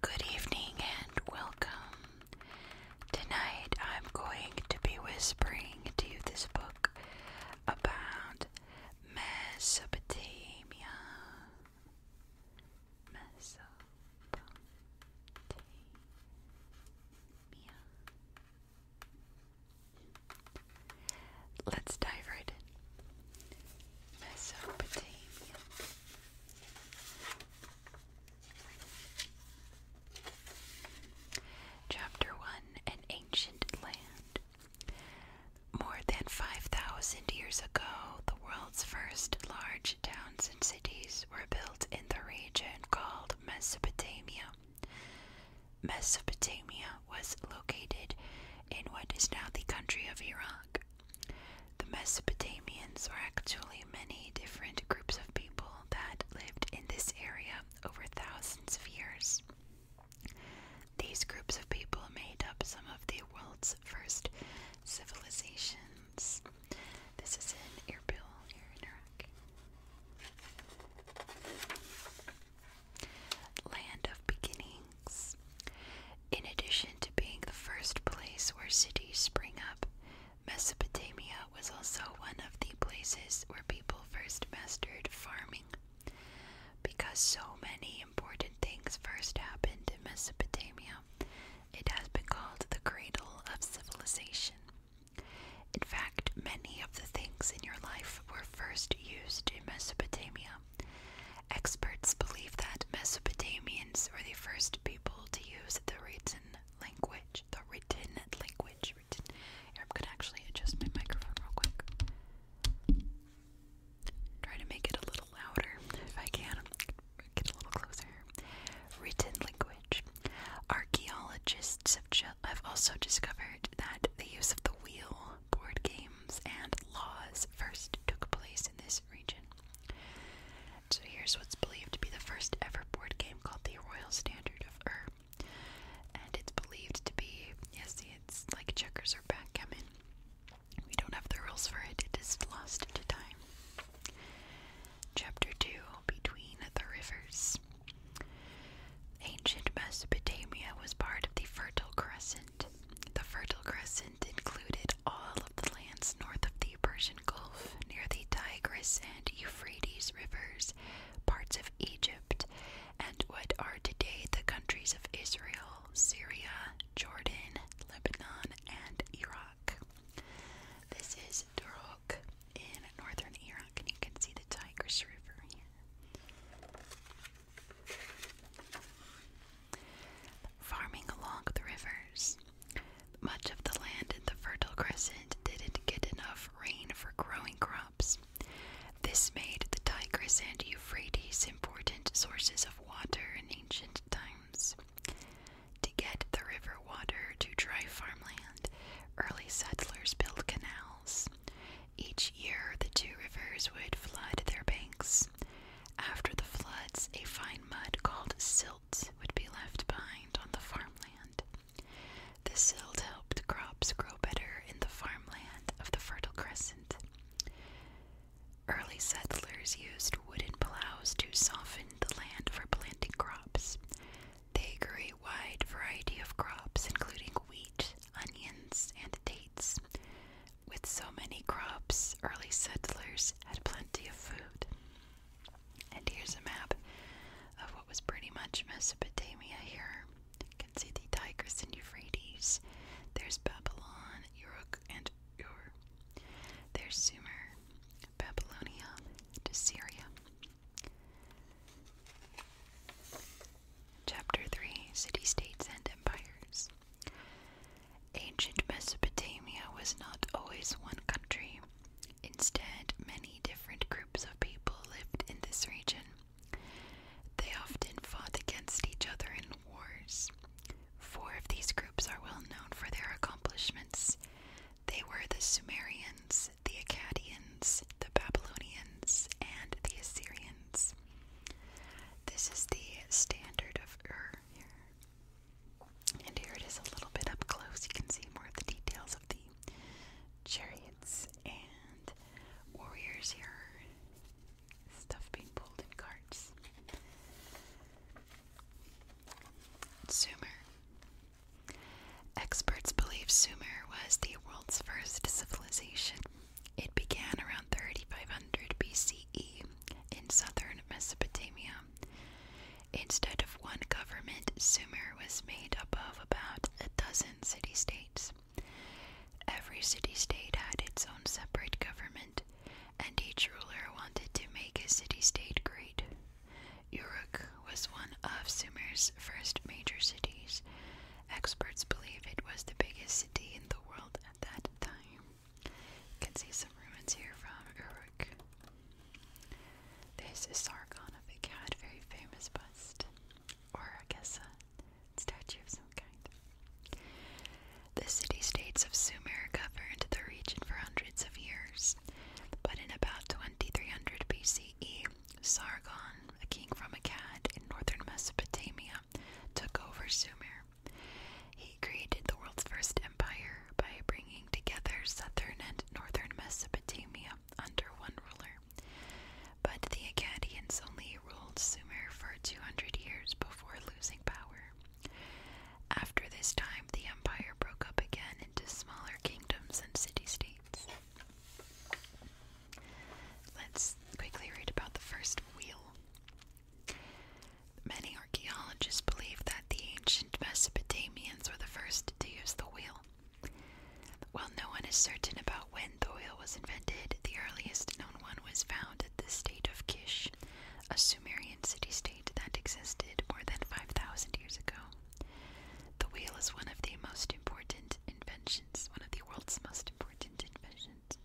Good evening and welcome. Tonight I'm going to be whispering to you this book about Mesopotamia. Mesopotamia. Let's dive right in. Mesopotamia. Chapter 1 An Ancient Land. More than 5,000 years ago, the world's first large towns and cities were built in the region called Mesopotamia. Mesopotamia was located in what is now the country of Iraq. The Mesopotamians were actually many different groups of people that lived in this area over thousands of years. These groups of people made up some of the world's first civilizations. This is in Iraq. Land of Beginnings. In addition to being the first place where cities spring up, Mesopotamia was also one of the places where people first mastered farming. Because so many important things first happened in Mesopotamia, it has been called the cradle of civilization. In fact, many of the things in your life were first used in Mesopotamia. Experts believe that Mesopotamians were the first people to use the written language. The written language. I'm going to actually adjust my microphone real quick. Try to make it a little louder if I can. Get a little closer. Written language. Archaeologists have, also discovered that the use of the wheel, board games, and laws first took place in this region. So here's what's believed to be the first ever board game called the Royal Standard of Ur. And it's believed to be, yes, see, it's like checkers or backgammon. We don't have the rules for it, it is lost to time. Chapter 2 Between the Rivers Ancient Mesopotamia was part of the Fertile Crescent. The Fertile Crescent included all of the lands north of the Persian Gulf, near the Tigris and Euphrates rivers, parts of Egypt, and what are today the countries of Israel, Syria, Jordan, Lebanon, and Iraq. This is Duroc in northern Iraq, and you can see the Tigris River here. Farming along the rivers. Much of the land in the Fertile Crescent didn't get enough rain for growing crops. This made the Tigris and Euphrates important sources of water in ancient times. To get the river water to dry farmland, early settlers built canals. Each year, the two rivers would flood their banks. After the floods, a fine mud called silt would be left behind on the farmland. The silt helped crops grow better in the farmland of the Fertile Crescent. Early settlers used wooden plows to soften the land for planting crops. They grew a wide variety of crops, including wheat, onions, and dates. With so many crops, early settlers had plenty of food. And here's a map of what was pretty much Mesopotamia here. You can see the Tigris and Euphrates. There's Babylon, Uruk, and Ur. There's Sumer, Babylonia to Syria. Chapter 3 City States and Empires. Ancient Mesopotamia was not always one country. Instead, many different groups of people lived in this region. They often fought against each other in wars. Four of these groups are well known for their accomplishments. They were the Sumerians, the Akkadians, the Babylonians, and the Assyrians. This is the standard of Ur here. And here it is a little bit up close. You can see more of the details of the chariots and warriors here stuff being pulled in carts. Sumer. Experts believe Sumer was the world's first civilization. It began around 3500 BCE in southern Mesopotamia. Instead of one government, Sumer was made up of about a dozen city states. Every city state had its own separate government, and each ruler wanted to make his city state great. Uruk was one of Sumer's first major cities. Experts believe it was the biggest city in the world at that time. You can see some ruins here from Uruk. There's a Sargon of the Cat, very famous bust. Or I guess uh, statue of some kind. The city states of Sumer governed the region for hundreds of years, but in about 2300 BCE, Sargon, a king from Akkad in northern Mesopotamia, took over Sumer. He created the world's first empire by bringing together southern and northern Mesopotamia under one ruler. But the Akkadians only ruled Sumer for 200 years before losing power. After this time, the empire broke up again into smaller kingdoms and city states. Let's quickly read about the first wheel. Many archaeologists believe that the ancient Mesopotamians were the first to use the wheel. While no one is certain about when the wheel was invented, the earliest known one was found founded the state of Kish, a Sumerian city state that existed more than 5,000 years ago. The wheel is one of the most important inventions, one of the world's most important inventions.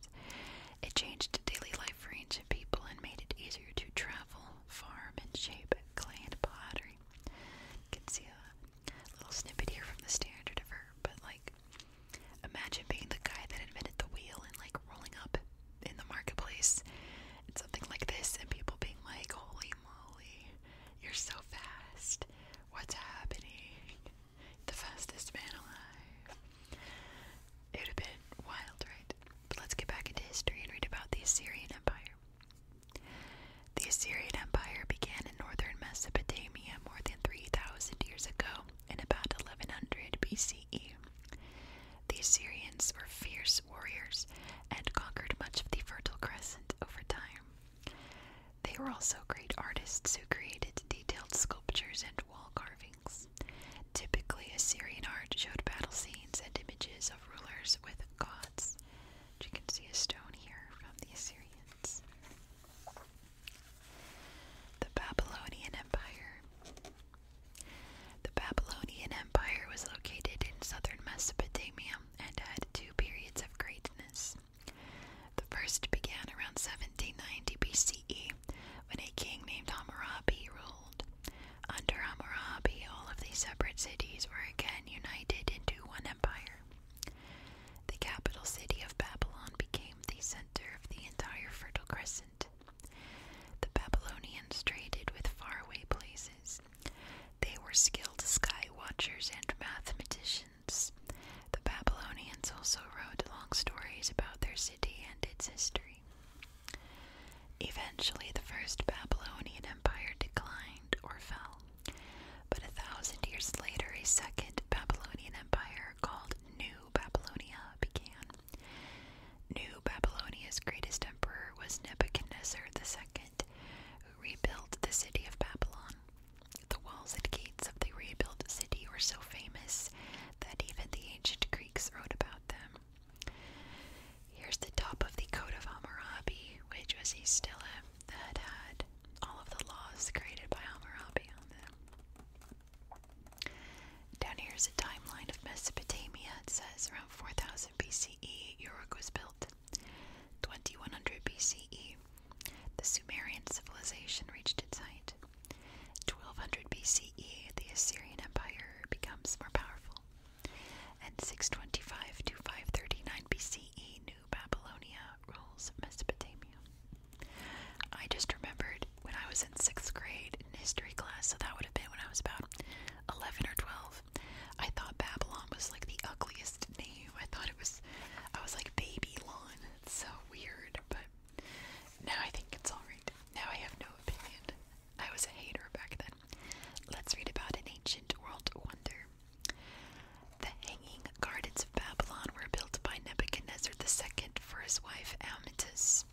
It changed daily life for ancient people and made it easier to travel, farm, and shape clay and pottery. You can see a little snippet here from the standard of her, but like Imagine being the guy that invented the wheel and like rolling up in the marketplace and something like this, and people being like, Holy moly, you're so fast. What's happening? The fastest man alive. It would have been wild, right? But let's get back into history and read about the Assyrian Empire. The Assyrian Empire began in northern Mesopotamia more than 3,000 years ago in about 1100 BCE. The Assyrians were fierce warriors and conquered much of the Fertile Crescent over time. They were also great artists who created detailed sculptures and wall carvings. Typically, Assyrian art showed battle scenes and images of rulers with gods. you can see a stone here from the Assyrians. The Babylonian Empire. The Babylonian Empire was located in southern Mesopotamia and had two periods of greatness. The first began around 1790 BCE when a king named Hammurabi ruled. Under Hammurabi, all of these separate cities were again united into one empire. The capital city of Babylon became the center of the entire Fertile Crescent. The Babylonians traded with faraway places. They were skilled sky watchers and mathematicians. The Babylonians also wrote long stories about their city and its history. Eventually, the first Babylonian empire declined or fell, but a thousand years later, a second Babylonian empire called New Babylonia began. New Babylonia's greatest emperor was Nebuchadnezzar II, who rebuilt the city of Babylon. The walls and gates of the rebuilt city were so famous that even the ancient Greeks wrote about them. Here's the top of the Code of Hammurabi, which was a stela that had all of the laws created by Hammurabi on them. Down here is a timeline of Mesopotamia. It says around 4000 BCE, Uruk was built. 2100 BCE, the Sumerian civilization reached its height. 1200 BCE, the Assyrian Empire becomes more powerful. And 625 to 539 BCE, New Babylonia rules Mesopotamia. I just remembered when I was in sixth grade in history class, so that would have been when I was about 11 or 12. I thought Babylon was like the ugliest name. I thought it was, I was like, Babylon. It's so weird, but now I think it's alright. Now I have no opinion. I was a hater back then. Let's read about an ancient world wonder. The Hanging gardens of Babylon were built by Nebuchadnezzar II for his wife Amyntas.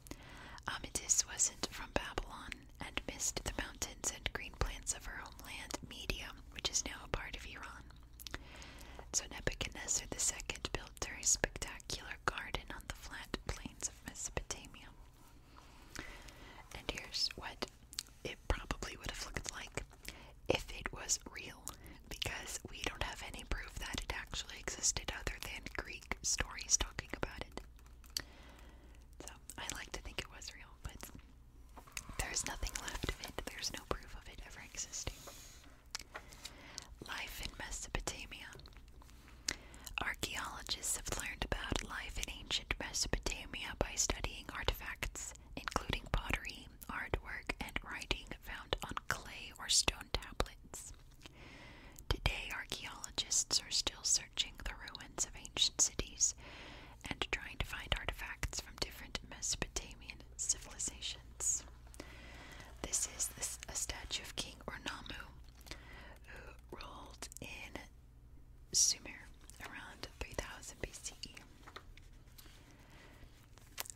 Amyntas wasn't from Babylon and missed the mountains and green plants of her homeland Media, which is now a part of Iran. So Nebuchadnezzar II built her a spectacular garden on the flat plains of Mesopotamia. And here's what it probably would have looked like if it was real because we don't have any proof that it actually existed other than Greek stories talking about it. So I like to think it was real, but there's nothing left of it. There's no proof of it ever existing. Life in Mesopotamia. Archaeologists have learned about life in ancient Mesopotamia by studying artifacts, including pottery, artwork, and writing found on clay or stone Today, archaeologists are still searching the ruins of ancient cities and trying to find artifacts from different Mesopotamian civilizations. This is a statue of King Ornamu, who ruled in Sumer around 3000 BCE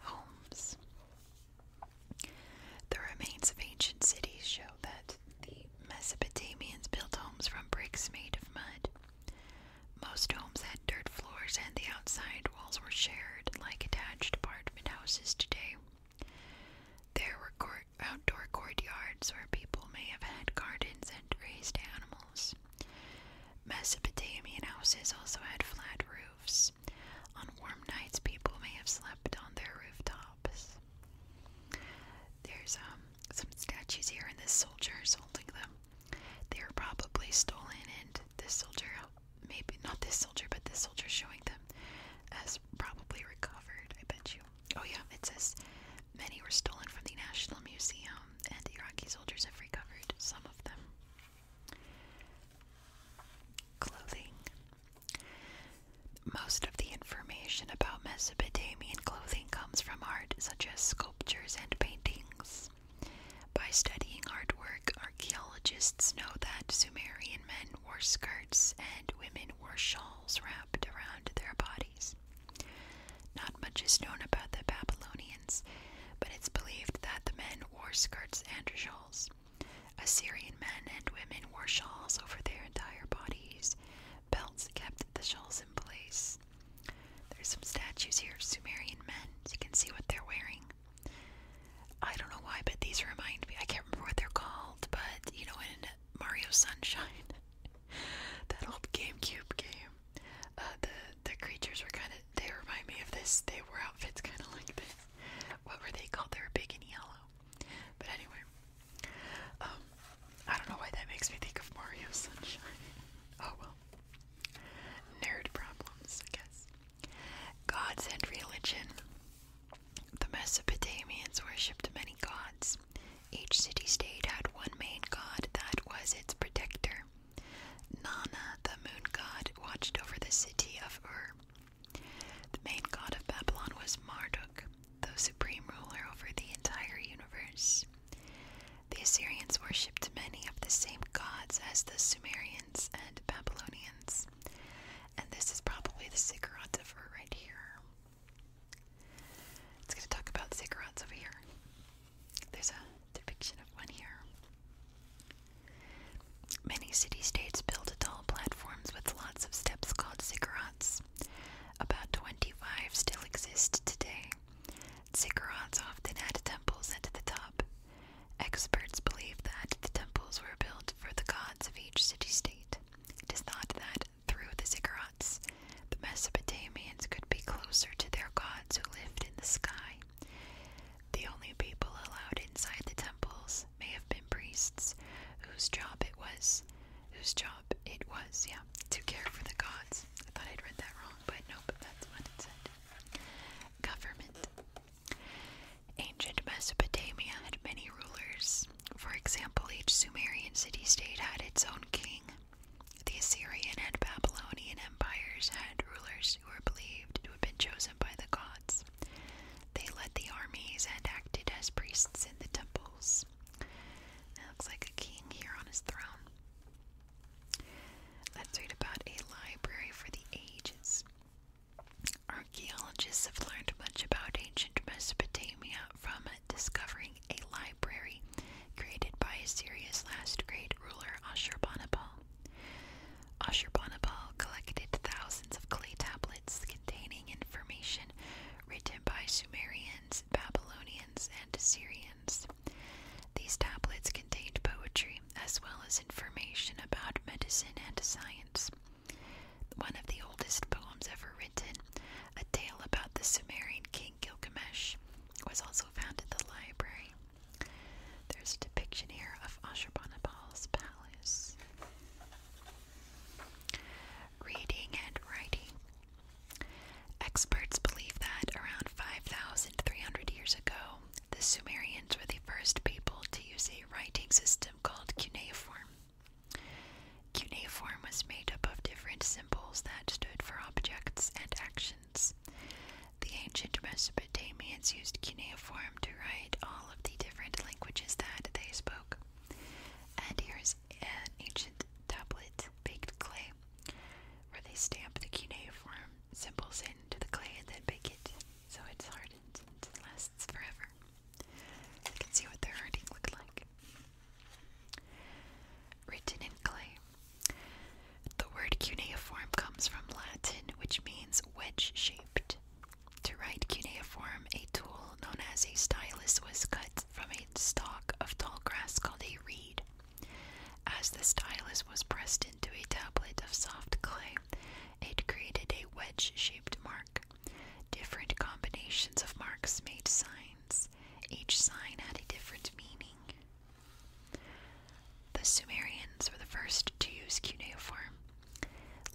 homes. The remains of ancient cities show that the Mesopotamians built homes from bricks made of mud. Most homes had dirt floors, and the outside walls were shared, like attached apartment houses today. There were outdoor courtyards where people may have had gardens and raised animals. Mesopotamian houses also had flat roofs. On warm nights, people may have slept on their rooftops. There's um, some statues here, and this soldier is holding them. They were probably stolen, and this soldier, maybe not this soldier, but this soldier showing them, as probably recovered, I bet you. Oh, yeah, it says many were stolen from the National Museum, and Iraqi soldiers have recovered some of them. Clothing. Most of the information about Mesopotamian clothing comes from art such as sculptures and paintings. By studying artwork, archaeologists know that Sumerian men wore skirts and women wore shawls wrapped around their bodies. Not much is known about the Babylonians but it's believed that the men wore skirts and shawls. Assyrian men and women wore shawls over their entire bodies. Belts kept the shawls in place. There's some statues here of Sumerian men, you can see what they're wearing. I don't know why, but these remind me. I can't remember what they're called, but you know, in Mario Sunshine, that old GameCube game, uh, the the creatures were kind of. They remind me of this. They wore outfits kind of like this. What were they called? They were big and yellow. But anyway, um, I don't know why that makes me think of Mario Sunshine. oh well. Nerd problems, I guess. Gods and religion. The Mesopotamians worshipped many gods. Each city state had one main god that was its protector. Nana, the moon god, watched over the city of Ur. The main god of Babylon was Marduk, the supreme ruler over the entire universe. The Assyrians worshipped many of the same gods as the Sumerians and Babylonians. And this is probably the ziggurat of right here. It's going to talk about ziggurats over here. There's a depiction of one here. Many city states built tall platforms with lots of steps called ziggurats. About 25 still exist today. Ziggurats often had temples at the top. Experts believe that the temples were built for the gods of each city state. It is thought that through the ziggurats, the Mesopotamians could be closer to their gods who lived in the sky. The only people allowed inside the temples may have been priests, whose job it was, whose job it was, yeah, to care for the gods. I thought I'd read that wrong, but nope, that's what it said. Government. Ancient Mesopotamia had many rulers. For example, each Sumerian city state had its own king. The Assyrian and Babylonian empires had rulers who were believed to have been chosen by the gods. They led the armies and acted as priests in the temples. looks like a king here on his throne. Let's read about a library for the ages. Archaeologists have learned much about ancient Mesopotamia from discovering a library created by Assyria's last great ruler Ashurbanipal. Ashurbanipal collected thousands of clay tablets containing information written by Sumerians, Babylonians, and Assyrians. These tablets contained poetry as well as information about medicine and science. One of the oldest poems ever written, a tale about the Sumerian king Gilgamesh, was also found at the library. There's a depiction here of Ashurbanipal's palace. Reading and writing. Experts believe that around 5,300 years ago, the Sumerians were the first people to use a writing system called cuneiform. Cuneiform was made up of different symbols that stood for objects and actions. The ancient Mesopotamians used cuneiform to write all of the different languages that they spoke. And here's an ancient tablet, baked clay, where they stamp the cuneiform symbols into the clay and then bake it so it's hardened and lasts forever. You can see what their writing looked like. Written in clay. The word cuneiform comes from Latin, which means wedge shaped. To write cuneiform, a tool known as a stylus was cut from a stalk of tall grass called a reed. As the stylus was pressed into a tablet of soft clay, it created a wedge shaped mark. Different combinations of marks made signs. Each sign had a different meaning. The Sumerians were the first to use cuneiform.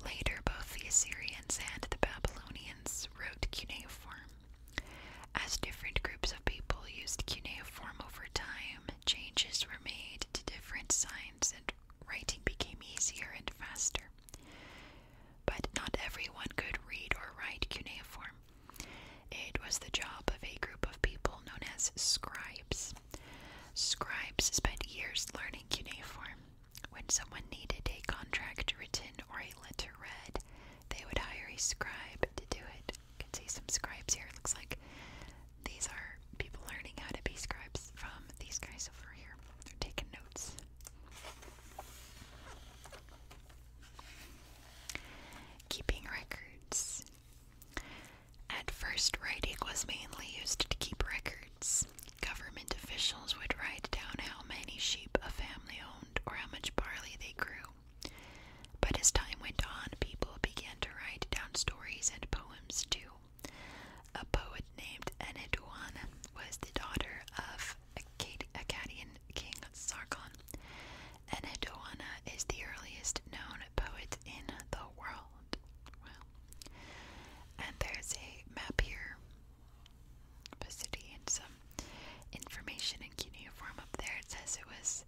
Later, both the Assyrians and the Babylonians wrote cuneiform. As different groups of people used cuneiform over time, changes were made to different signs and writing became easier and faster. But not everyone could read or write cuneiform. It was the job of a group of people known as scribes. Scribes spent years learning cuneiform. When someone needed a contract written or a letter read, they would hire a scribe to do it. You can see some scribes here. It looks like these are people learning how to be scribes from these guys over here. They're taking notes. Keeping records. At first, writing was mainly used to keep records. Government officials would write down how many sheep a family owned or how much barley they grew. But as time went on, people began to write down stories and poems too. A poet named Eneduan was the daughter of a Acadian king of Sargon, Enedwana is the earliest known poet in the world. And there's a map here of a city and some information in cuneiform up there. It says it was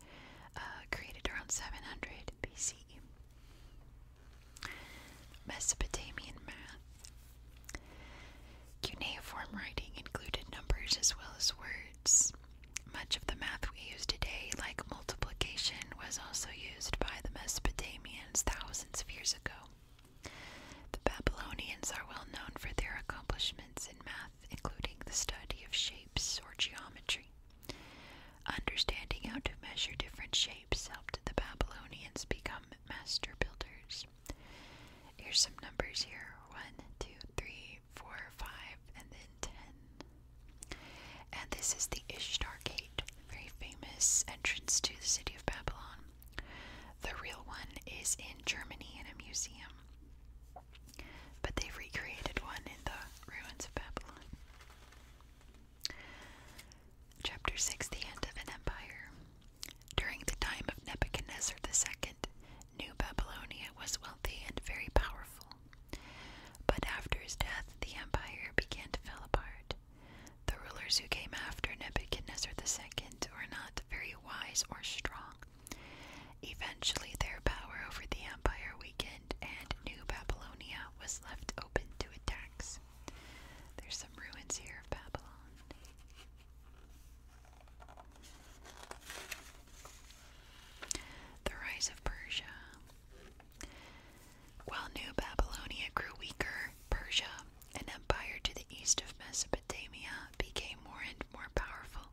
uh, created around 700 BC. Mesopotamian math. Cuneiform writing included numbers as well as words. Much of the math we use today, like multiplication, was also used by the Mesopotamians thousands of years ago. The Babylonians are well known for their accomplishments in math, including the study of shapes or geometry. Understanding how to measure different shapes helped the Babylonians become master builders. Here's some numbers here 1, 2, 3, four, five, and then ten. And this is the Ishtar Gate, very famous entrance to the city of Babylon. The real one is in Germany in a museum, but they've recreated one in the ruins of Babylon. Chapter 6 The End of an Empire. During the time of Nebuchadnezzar II, New Babylonia was wealthy and very powerful. But after his death, the empire began to fall apart. The rulers who came after Nebuchadnezzar II were not very wise or strong. Eventually, their power over the empire weakened, and New Babylonia was left open to attacks. There's some ruins here of Babylon. The rise of Persia. While New Babylonia grew weaker, Persia, an empire to the east of Mesopotamia, became more and more powerful.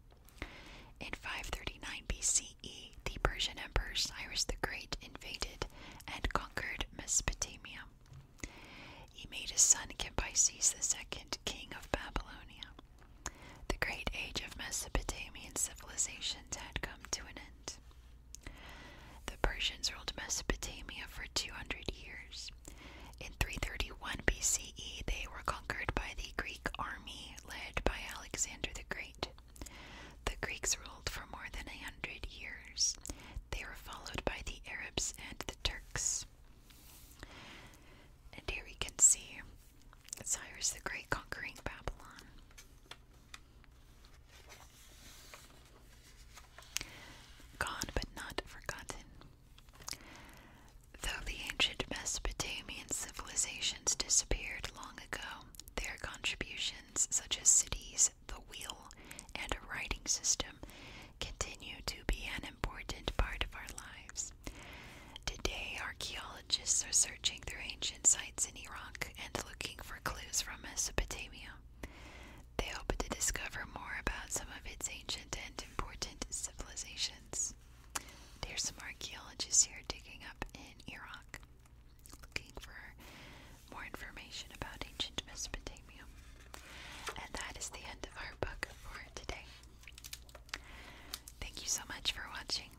In 539 BCE, the Persian Emperor Cyrus the Great invaded and conquered Mesopotamia. He made his son Cambyses II king of Babylonia. The great age of Mesopotamian civilizations had come to an end. The Persians ruled Mesopotamia for 200 years. In 331 BCE, they were conquered by the Greek army led by Alexander the Great. The Greeks ruled for more than a hundred years. They were followed by the Arabs and the Turks. And here we can see Cyrus the Great conquering Babylon. Gone but not forgotten. Though the ancient Mesopotamian civilizations disappeared long ago, their contributions, such as cities, the wheel, and a writing system, continue to be an important part of our lives. Today, archaeologists are searching through ancient sites in Iraq and looking for clues from Mesopotamia. They hope to discover more about some of its ancient and important civilizations. There are some archaeologists here digging up in Iraq, looking for more information about ancient Mesopotamia. And that is the end of our book for today. Thank you so much for watching.